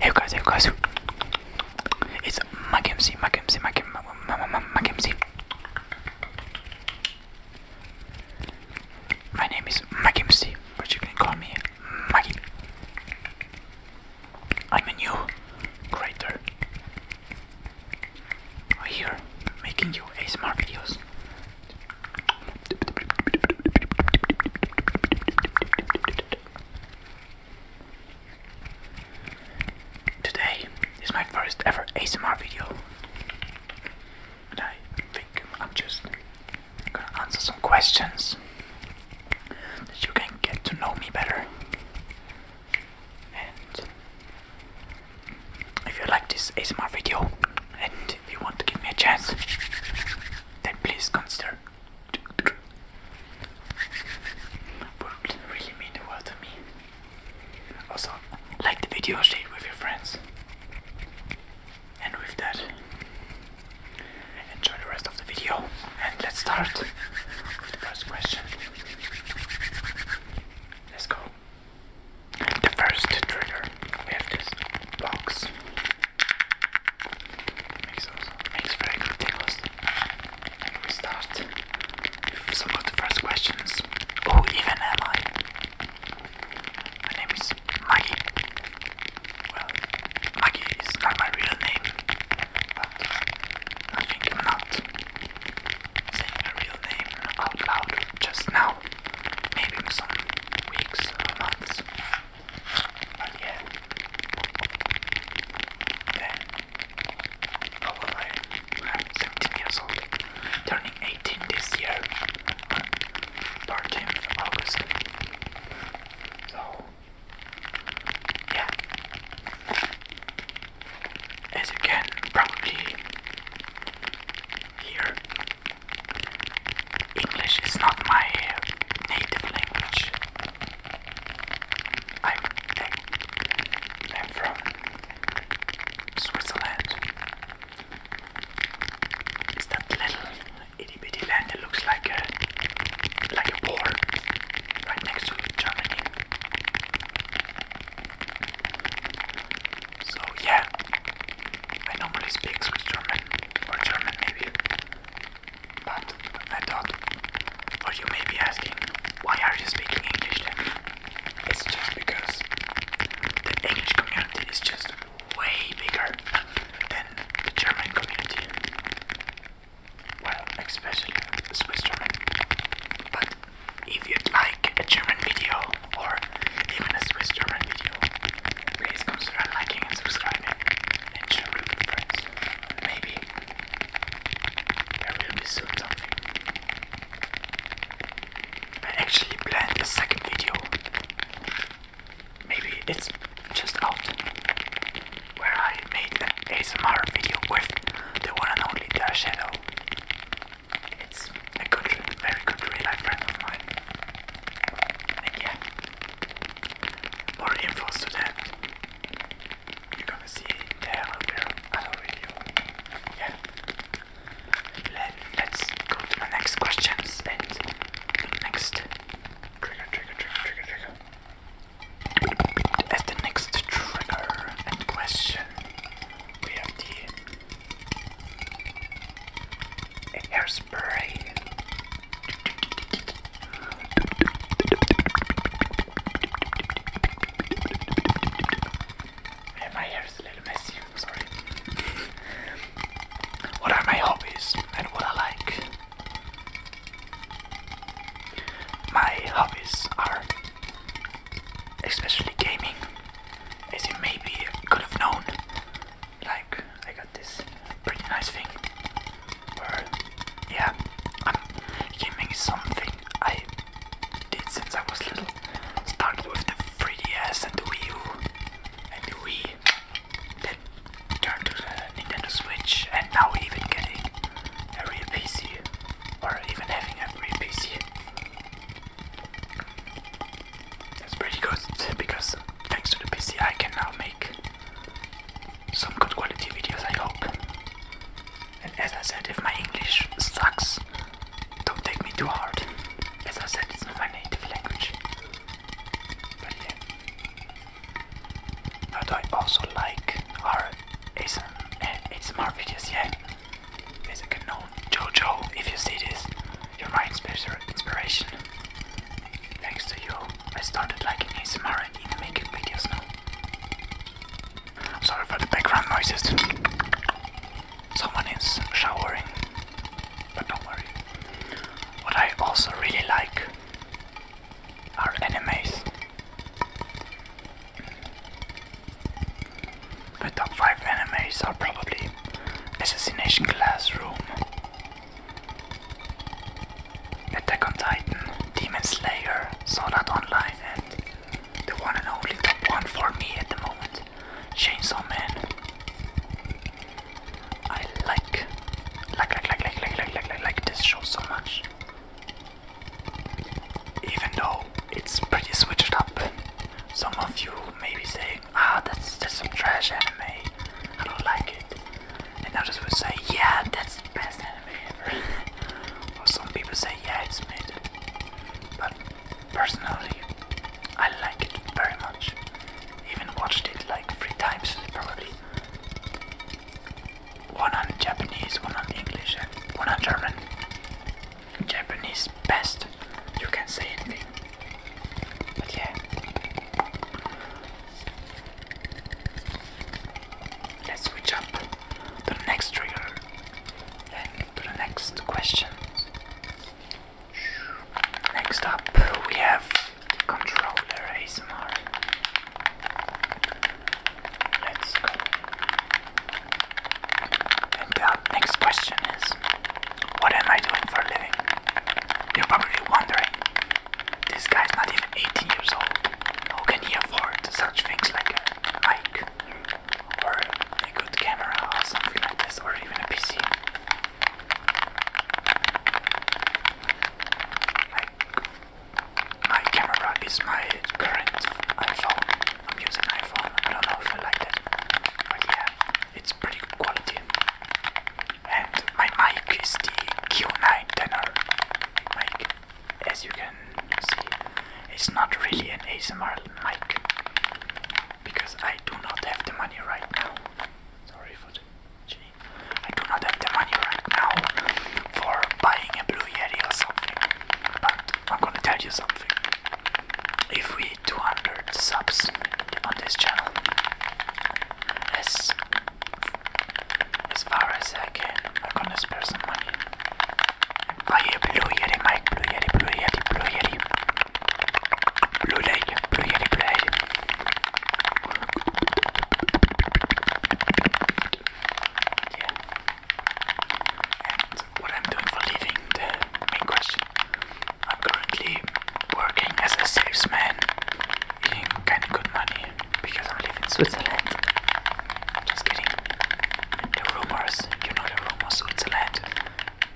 Hey guys, hey guys, it's Mac MC, Mac MC, Mac MC, Mac MC. My name is Mac MC, but you can call me Maggie. I'm a new creator here making you ASMR videos. Today is my first ever ASMR video, and I think I'm just gonna answer some questions that you can get to know me better. And if you like this ASMR video and you want to give me a chance, then please consider would really mean the world to me. Also, like the video, share it with your friends. And with that, enjoy the rest of the video. And let's start with the first question. Let's go. The first trigger, we have this box. Makes also makes very good tingles. And we start with some of the first questions. Who even am I? My name is Maggie. Well, Maggie is not my real name, but I think I'm not saying my real name out loud just now. Maybe in some weeks or months. But yeah, then how oh, I am? 17 years old, turning 18 this year, on 13th August. So yeah, as you can probably hear, English is not my native language. I'm, from Switzerland. It's that little itty bitty land that looks like a like a war right next to Germany. So yeah, I normally speak Swiss German or German maybe, but I thought, or you may be asking, why are you speaking English then? It's just because the English community is just way bigger than the German community. Well, especially Swiss German. But if you'd like a German video or even a Swiss German video, Please consider liking and subscribing and share friends. Maybe there will be soon something. I actually planned a second video. Maybe it's just out. Where I made an ASMR video with the one and only Dark Shadow. It's a good, very good real life friend of mine. And more infos to that. You're gonna see there under other video. Yeah. Let, let's go to the next questions and next trigger, trigger, trigger, trigger, As the next trigger question, we have the hairspray. And my hair is a little messy, sorry. what are my hobbies and what I like? My hobbies are especially gaming, as you maybe could have known like I got this pretty nice thing where yeah I'm gaming something I did since I was little. Started with the 3DS and the Wii U and the Wii then turned to Nintendo Switch and now even getting a real PC or even having a real PC. That's pretty good because thanks to the PC I can now make some good quality videos I hope. And as I said, if my English sucks, don't take me too hard. As I said, it's not my native language. But yeah. I also like our ASMR, ASMR videos? Yeah. As a known Jojo, if you see this, you're my inspiration. Thanks to you, I started liking ASMR and even making videos now. sorry for the background noises. Someone is showering, but don't worry. What I also really like are animes. The top 5 enemies are probably Assassination Classroom, Attack on Titan, Demon Slayer, Sword Art Online, and the one and only top 1 for me at the moment, Chainsaw Man. I like, like, like, like, like, like, like, like, like, like this show so much. Even though it's pretty switched up, some of you maybe say ah, oh, that's, just some trash anime. I don't like it. And others would say, yeah, that's the best anime ever. or some people say, yeah, it's mid. But personally, I like it very much. Even watched it like three times, probably. One on Japanese, one on English, and one on German. Japanese best. You can say anything. But Let's switch up the next trigger. Then the next question. Next up we have the controller ASMR. Let's go. And the next question is What am I doing for a living? You're probably wondering. This guy's not even 18 years old. Who can he afford such things like a mic or a good camera or something like this or even a PC? my camera is my current iPhone I'm using iPhone. I don't know if I like that, but yeah, it's pretty good quality. And my mic is the Q9 tenor mic. As you can see, it's not really an ASMR mic because I do not have the money right now. Sorry for the I do not have the money right now for buying a Blue Yeti or something. But I'm gonna tell you something. If we 200 subs on this channel as as far as I can. I'm gonna spare some money. Buy a blue yeti mic, blue yeti, blue yeti, blue yeti, blue lake, blue yeti, blue yeti and what I'm doing for living, the main question. I'm currently working as a salesman, eating kind of good money because I live in Switzerland. Just kidding. The rumors, you know the rumors, Switzerland,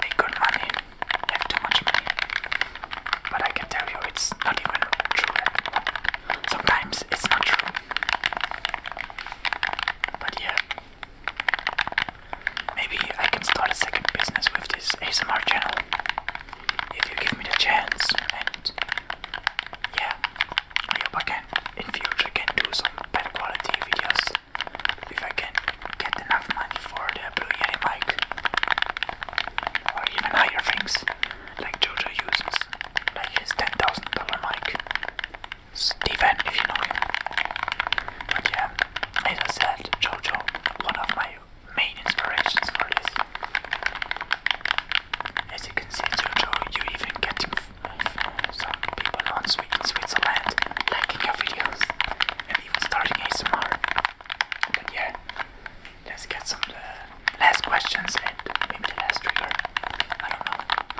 make good money, have too much money. But I can tell you it's not even true. Sometimes it's not true. But yeah. Maybe I can start a second business with this ASMR channel if you give me the chance. And yeah, I hope I can in future can do some better quality videos if I can get enough money for the Blue Yeti mic or even higher things like Jojo uses, like his ten thousand dollar mic. Stephen, if you know him. yeah, as I said, Jojo, one of my main inspirations for this. As you can see, Jojo, you are even getting some people on Sweet in Switzerland liking your videos and even starting ASMR. But yeah, let's get some uh, last questions and maybe the last trigger. I don't know.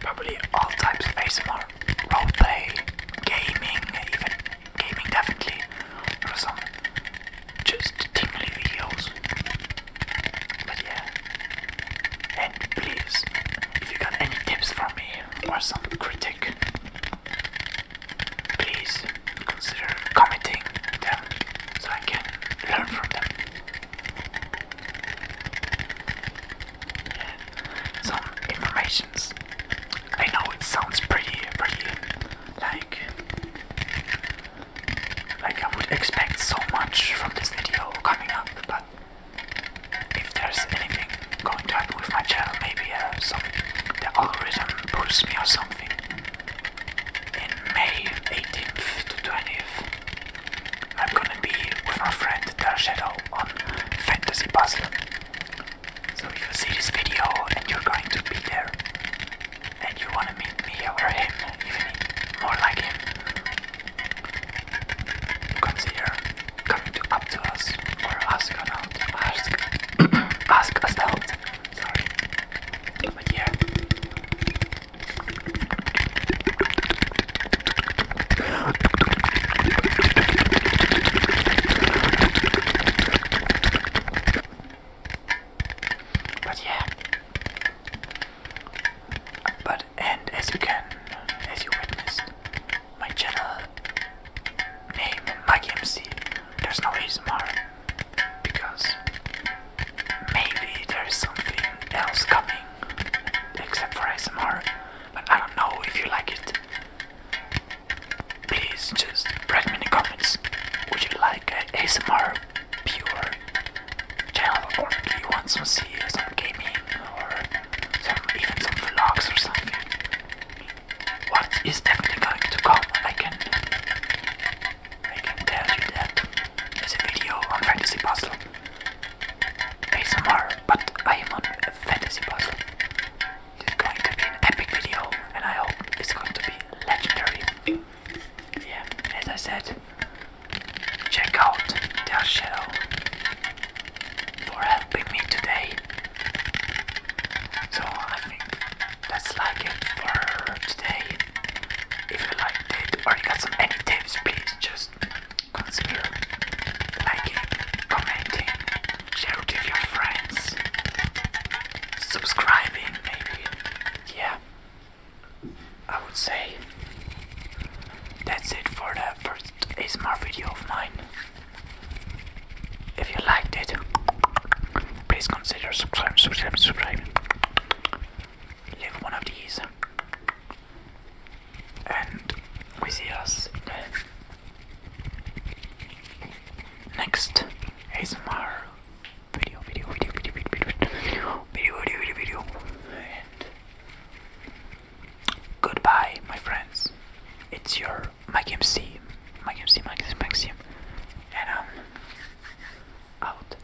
probably all types of ASMR, roleplay, gaming, even gaming definitely, or some just tingly videos. But yeah, and please, if you got any tips from me or some critic, please consider commenting them so I can learn from them some informations. I know it sounds pretty, pretty, like, like I would expect so much from this video coming up, but if there's anything going to happen with my channel, maybe uh, some, the algorithm pulls me or something. In May 18th to 20th, I'm gonna be with my friend Dark Shadow on Fantasy Puzzle. So if you see this video and you're going to be there and you wanna meet me or him, even more like him, consider coming to, up to us or ask us out. Ask, ask us out. Sorry. But yeah. But yeah. But and as you can, as you witnessed, my channel name Mike MC. There's no ASMR because maybe there is something else coming except for ASMR, but I don't know if you like it. Please just write me in the comments. Would you like a ASMR pure channel, or do you want some see some gaming, or even some vlogs or something? What is definitely going to come? I can tell you that. There's a video on Fantasy Puzzle. ASMR, but I am on fantasy puzzle. It's going to be an epic video, and I hope it's going to be legendary. Yeah, as I said, check out their channel for helping me today. So I think that's like it for today. If you liked it or you got some any tips, please just consider liking, commenting, share with your friends, subscribing maybe. Yeah, I would say that's it for the first ASMR video of mine. If you liked it, please consider subscribing, subscribing, subscribing live one of these and we see us next ASMR video video video video video video video video video video video and goodbye my friends it's your Mike MC Mike MC Mike Maxim and I'm um, out